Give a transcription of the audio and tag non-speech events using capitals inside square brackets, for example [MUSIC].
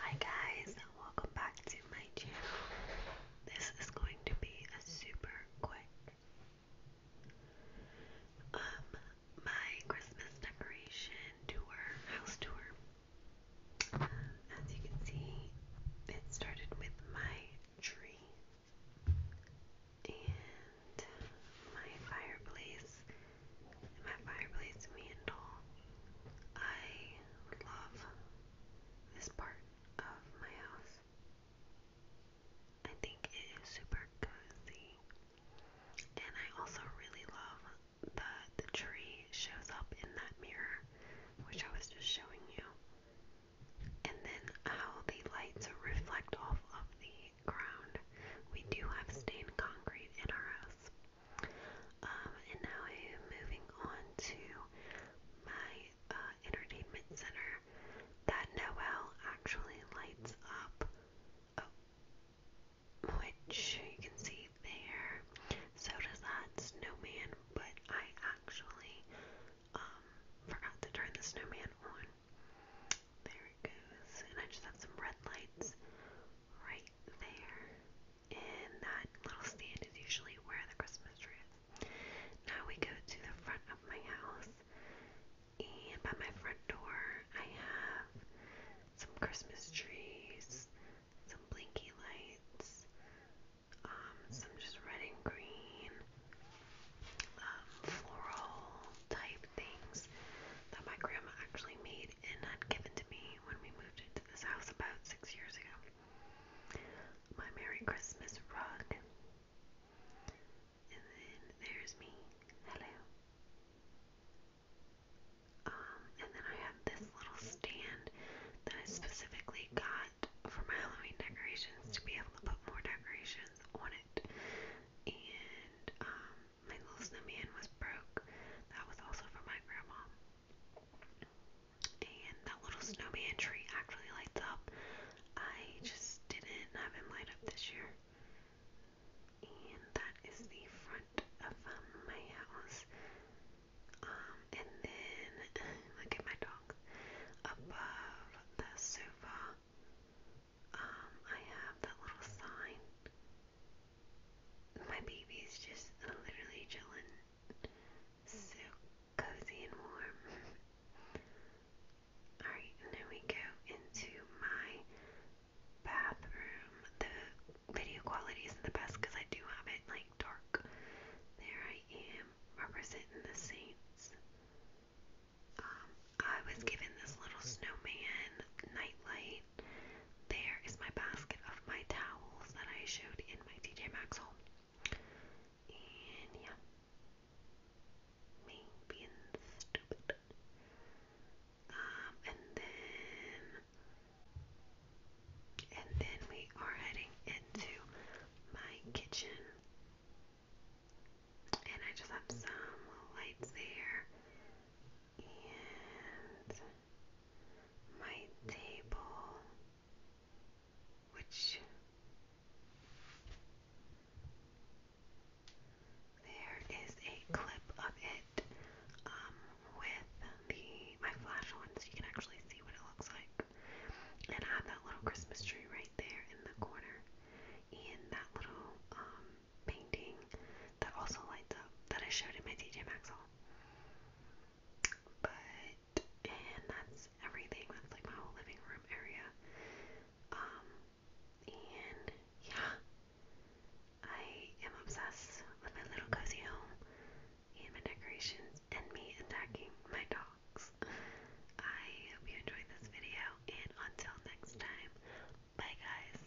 Hi guys and welcome back to my channel. This is going to be a super quick um my Christmas decoration tour, house tour. Um, as you can see, it started with my tree and my fireplace, my fireplace mantle. I love this part of my house. I think it is super cozy. And I also really love that the tree shows up in that mirror, which I was just showing you and then how the lights reflect off of the ground. We do have stained concrete in our house. Um, and now I am moving on to my uh, entertainment center that Noel actually lights up, oh, which you can see there. So does that snowman but I actually um forgot to turn the snowman on. There it goes. And I just have some red lights right there. And that little stand is usually where the Christmas tree is. Now we go to the front of my house. And by my front door, I have some Christmas trees, some blinky lights, um, some just red and green, um, floral type things that my grandma actually made and had given to me when we moved into this house about six years ago. My Merry Christmas rug. And then there's me. Hello. Um, and then I have this little stand that I specifically got for my Halloween decorations to be able to put more decorations on it. And um, my little snowman was broke. That was also for my grandma. And that little snowman tree actually lights up. I just didn't have him light up this year and that is the front of um, my house. Um, and then [LAUGHS] look at my dog above the sofa. Um, I have that little sign. My baby's just literally chilling, so cozy and warm. [LAUGHS] Alright, and then we go into my bathroom. The video quality isn't the best because I do have it like dark. There I am, representing the Saints. Um, I was given this little snowman nightlight. There is my basket of my towels that I showed in my DJ Maxx haul. And yeah, me being stupid. Um, and then, and then we are heading into my kitchen, and I just have some lights there, and my table which there is a clip of it um, with the my flash on so you can actually see what it looks like. And I have that little Christmas tree right there in the corner and that little um, painting that also lights up that I showed in my DJ Maxwell. But and that's everything. That's like my whole living room area. Um, and yeah, I am obsessed with my little cozy home and my decorations and me attacking my dogs. I hope you enjoyed this video, and until next time, bye guys.